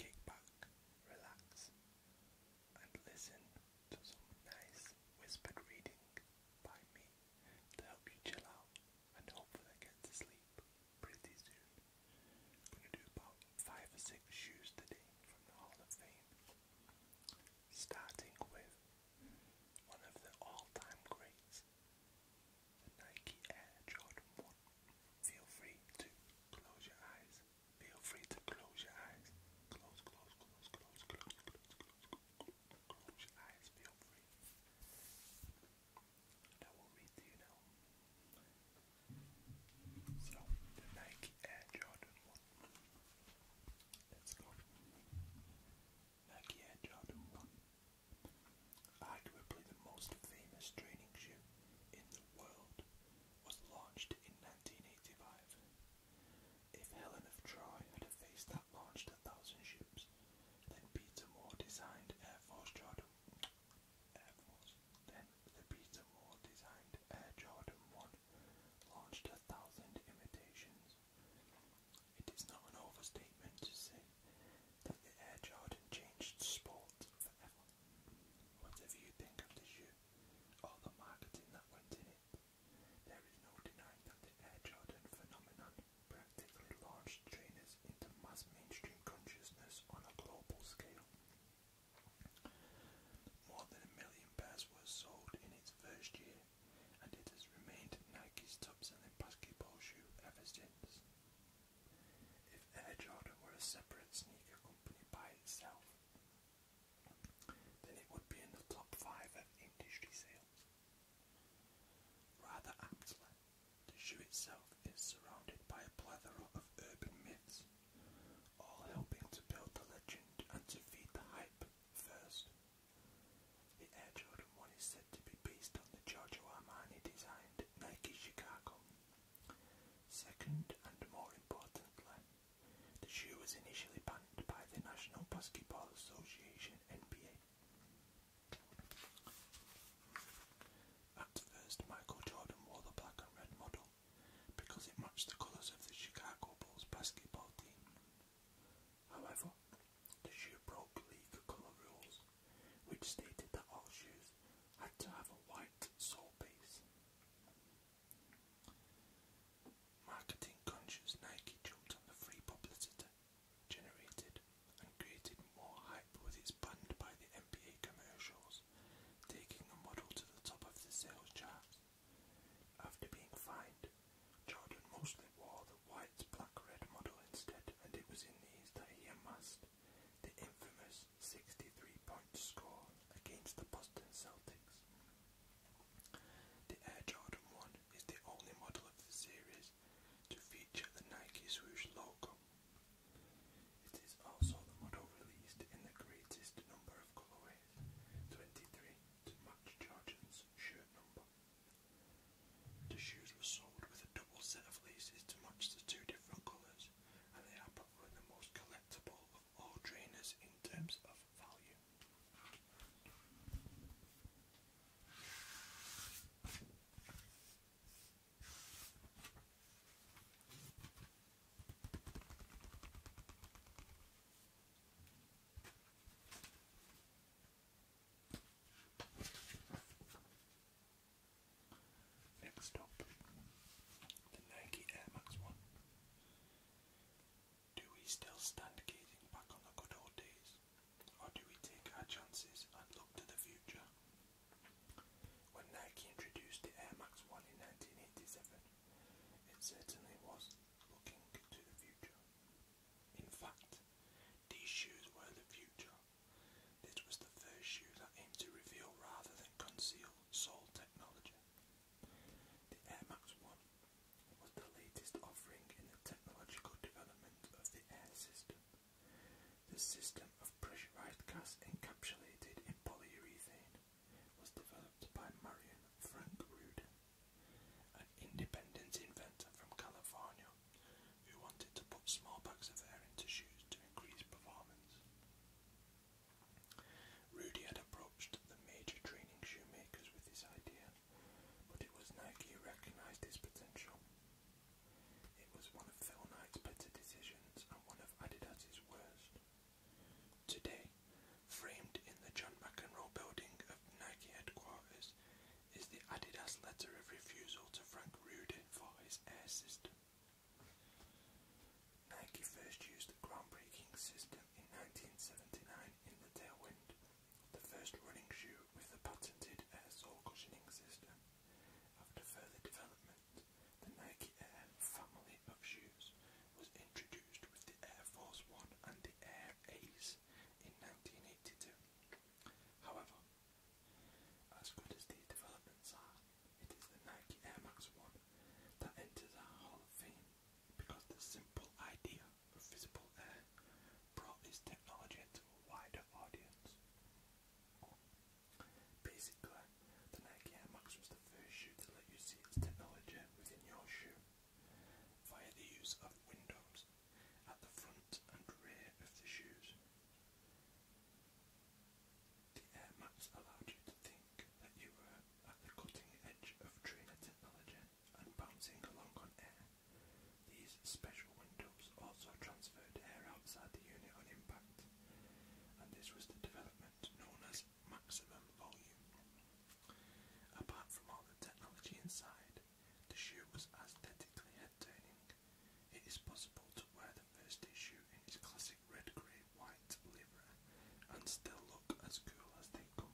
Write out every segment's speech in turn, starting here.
Kick back, relax, and listen to some nice whispered reading by me to help you chill out and hopefully get to sleep pretty soon. going to do about five or six shoes today from the Hall of Fame, starting with one of the all-time greats, the Nike Air Jordan 1. Feel free to close your eyes. Feel free to close your eyes. Close, close, close, close, close, close, close, close, close your eyes. Feel free. And I will read to you now. So, the Nike Air Jordan 1. Let's go. Nike Air Jordan 1, arguably the most famous training shoe in the world, was launched in 1985. If Helen of Troy had a face that launched a thousand ships, then Peter Moore designed Air Force Jordan Then the Peter Moore designed Air Jordan 1 launched a thousand imitations. It is not an overstatement to say that the Air Jordan changed sport forever. Whatever you think of the shoe or the marketing that went in it, there is no denying that the Air Jordan phenomenon practically launched trainers into mass mainstream consciousness on a global scale. More than a million pairs were sold in its first year, and it has remained Nike's top-selling basketball shoe ever since. If Air Jordan were a separate sneaker company by itself, then it would be in the top five of industry sales. Rather aptly, the shoe itself is surrounded by a plethora of urban myths, all helping to build the legend and to feed the hype first the Air Jordan 1 is said to be based on the Giorgio Armani designed Nike Chicago. Second, and more importantly, the shoe was initially banned by the National Basketball Association NBA. At first, Michael Jordan wore the black and red model because it matched the colours of the Chicago Bulls basketball team. However, the shoe broke league colour rules, which stated that all shoes had to have a white sole base. Marketing conscious Nike jumped on the free publicity generated and created more hype with its banned by the NBA commercials, taking the model to the top of the sales charts. After being fined, Jordan mostly wore the white black-red model instead, and it was in these that he amassed the infamous 63-point score against the Boston Celtics. The Air Jordan 1 is the only model of the series to feature the Nike swoosh logo. It is also the model released in the greatest number of colorways. 23 to match Jordan's shirt number. The shoes were sold with a double set of laces to match the two different colours, and they are probably the most collectible of all trainers in terms of value. Next up, the Nike Air Max One. Do we still stand gazing back on the good old days, or do we take our chances and look to the future? When Nike introduced the Air Max One in 1987, it certainly was looking into the future. In fact, these shoes were the future. This was the first shoe that aimed to reveal rather than conceal sole technology. The Air Max 1 was the latest offering in the technological development of the air system. The system of pressurized gas encapsulated in polyurethane was developed by Marion Frank Rudin, an independent inventor from California who wanted to put small bags of air into shoes to increase performance. Rudy had approached the major training shoemakers with this idea, but it was Nike who recognised his potential. It was one of Phil Knight's better decisions and one of Adidas's worst. Today, framed in the John Mackinro building of Nike headquarters, is the Adidas letter of refusal to Frank Rudy for his air system. Nike first used the groundbreaking system in 1979 in the Tailwind, the first running shoe with the patented air sole cushioning system. After further development, the Nike Air family of shoes was introduced with the Air Force One and the Air Ace in 1982. However, as good as these developments are, it is the Nike Air Max One that enters our Hall of Fame because the simple idea of visible air brought this technology to a wider audience. Basically, the Nike Air Max was the first shoe to let you see its technology within your shoe via the use of windows at the front and rear of the shoes. The Air Max allowed you to think that you were at the cutting edge of trainer technology and bouncing along on air. These special windows also transferred air outside the unit on impact and this was the development known as maximum volume. Apart from all the technology inside, the shoe was aesthetically head-turning. is possible to wear the first issue in its classic red, grey, white livery and still look as cool as they come.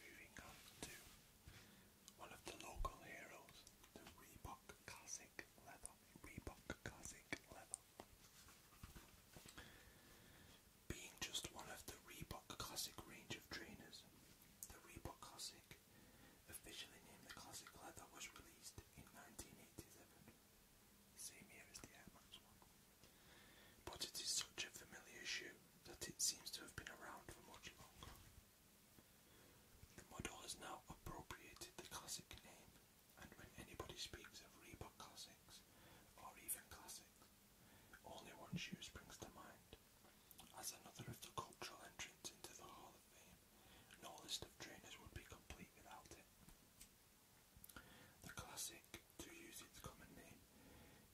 Moving on to one of the local heroes, the Reebok Classic Leather. Reebok Classic Leather being just one of the Reebok Classic range of trainers. The Reebok Classic, officially named the Classic Leather, was released in 1987, same year as the Air Max one. But it is such a familiar shoe that it seems to have been around for much longer. The model has now appropriated the Classic name, and when anybody speaks of Reebok Classics, or even Classics, only One Shoe springs to mind as another of the cultural entrants into the Hall of Fame. No list of trainers would be complete without it. The classic, to use its common name,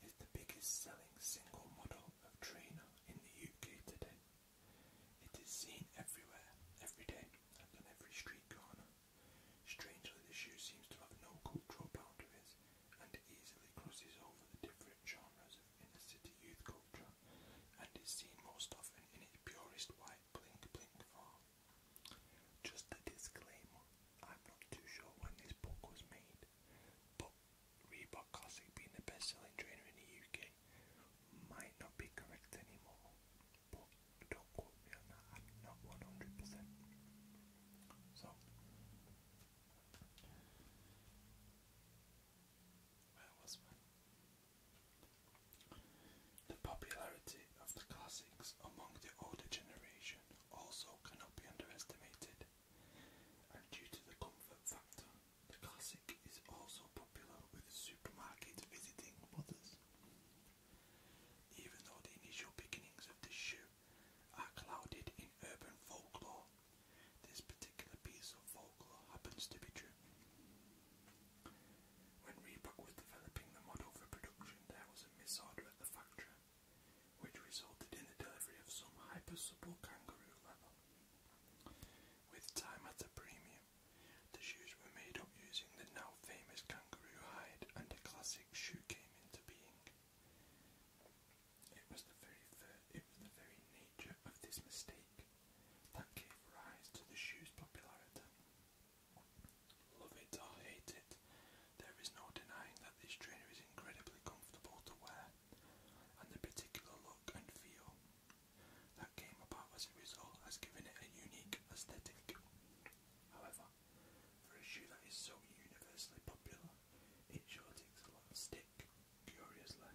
is the biggest selling single model of trainer in the UK today. It is seen everywhere, every day, on every street corner. Strangely, the shoe seems to have no cultural boundaries and easily crosses over the different genres of inner city youth culture and is seen most often in its purest white blink blink form. Just a disclaimer, I'm not too sure when this book was made, but Reebok Classic being the best selling trainer in the UK might not be correct anymore. But don't quote me on that, not 100%. The popularity of the classics among the older generation also cannot be underestimated, and due to the comfort factor, the classic is also popular with supermarket visiting mothers. Even though the initial beginnings of this shoe are clouded in urban folklore. This particular piece of folklore happens to be true. When Reebok was developing the model for production, there was a misorder at the factory, which resulted in the delivery of some hyper-supple kangaroo leather. With time at a premium, the shoes were made up using the now famous kangaroo hide and a classic shoe cane it was the very nature of this mistake that gave rise to the shoe's popularity. Love it or hate it, there is no denying that this trainer is incredibly comfortable to wear, and the particular look and feel that came about as a result has given it a unique aesthetic. However, for a shoe that is so universally popular, it sure takes a lot of stick, curiously.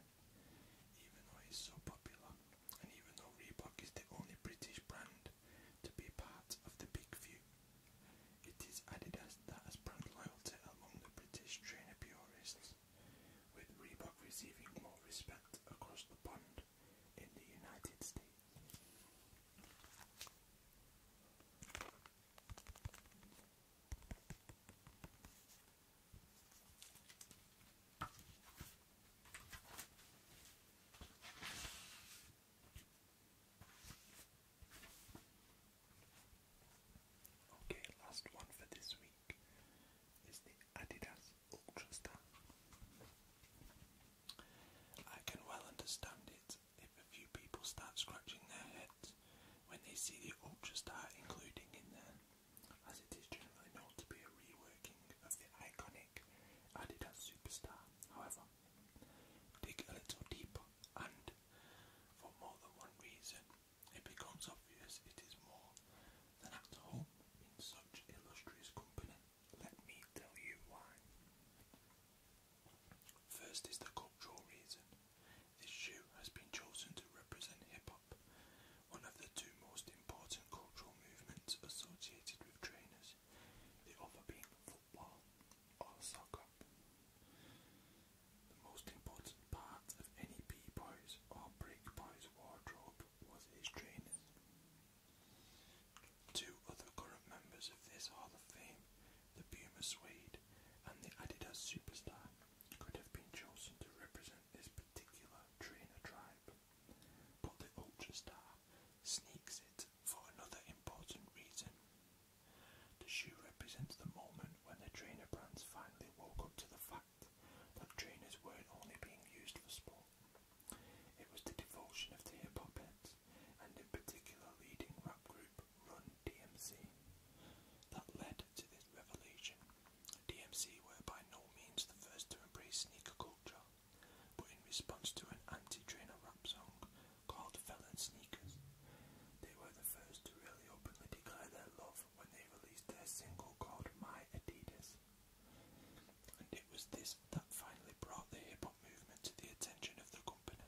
Even though it's so popular, and even though Reebok is the only British brand to be part of the Big Few, it is Adidas that has brand loyalty among the British trainer purists, with Reebok receiving more respect across the pond Okay, last one for this week is the Adidas Ulchester. I can well understand it if a few people start scratching their heads when they see the Ultra Star, including in there, as it is generally known to be a reworking of the iconic Adidas Superstar. However, dig a little deeper and, for more than one reason, it becomes obvious it is more than at home in such illustrious company. Let me tell you why. First is the cultural reason. This shoe has been chosen to represent hip hop, one of the two most important cultural movements associated with trainers, the other being football or soccer. The most important part of any B-boy's or break boy's wardrobe was his trainers. Two other current members of this Hall of Fame, the Puma Swede and the Adidas Superstar, could have been chosen to represent this particular trainer tribe. But the Ultra Star sneaks it for another important reason. The shoe represents the moment when the trainer brands finally woke up to the fact that trainers weren't only being used for sport. It was the devotion of the hip hop heads, and in particular leading rap group Run DMC, that led to this revelation. DMC were by no means the first to embrace sneaker culture, but in response to an anti-trainer rap song called Felon Sneakers, they were the first to really openly declare their love when they released their single called My Adidas. And it was this that finally brought the hip hop movement to the attention of the company.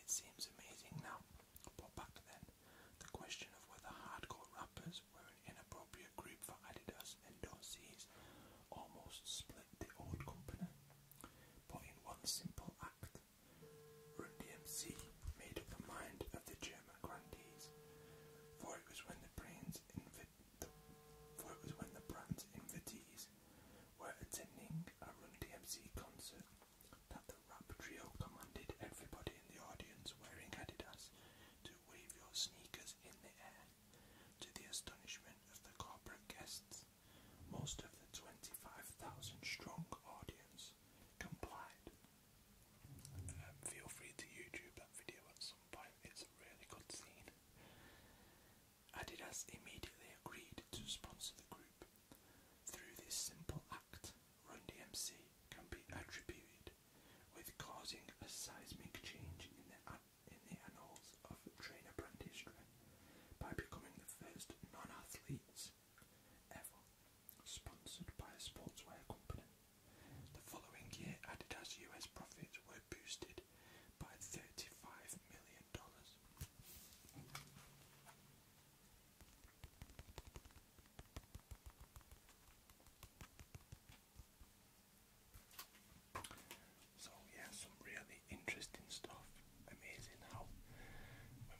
It seems amazing now, but back then, the question of whether hardcore rappers were an inappropriate group for Adidas endorsees almost split the old company. But in one simple act, Run DMC made up the mind of the German grandees, for it was when the brains it was when the brand's invitees were attending a Run DMC concert that the rap trio commanded everybody in the audience wearing Adidas to wave your sneakers in the air, to the astonishment of the corporate guests. Most of the 25,000 strong audience complied, um, feel free to YouTube that video at some point, it's a really good scene. Adidas immediately agreed to sponsor the group. Through this simple act, Run DMC can be attributed with causing a seismic change in the annals of trainer brand history by becoming the first non athletes ever sponsored by a sportswear company. The following year, Adidas' US profits were boosted by $35 million. So, yeah, some really interesting stuff. Amazing how, when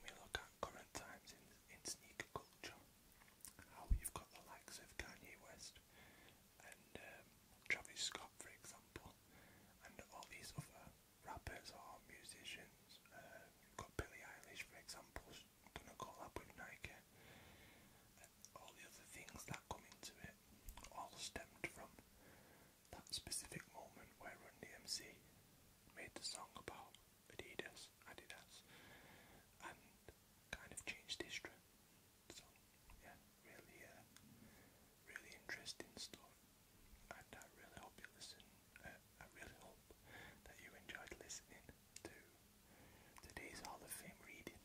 we look at current times in, sneaker culture, how you've got the likes of Kanye West and um, Travis Scott, for example, and all these other rappers or musicians. Uh, you've got Billie Eilish, for example, done a collab with Nike. And all the other things that come into it all stemmed from that specific moment where Run DMC made the song about Adidas, Adidas, and kind of changed history. So yeah, really, uh, really interesting stuff, I really hope you listen. Uh, I really hope that you enjoyed listening to today's Hall of Fame reading.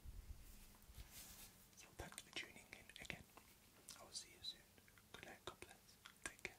So thanks for tuning in again. I will see you soon. Good night, Take care.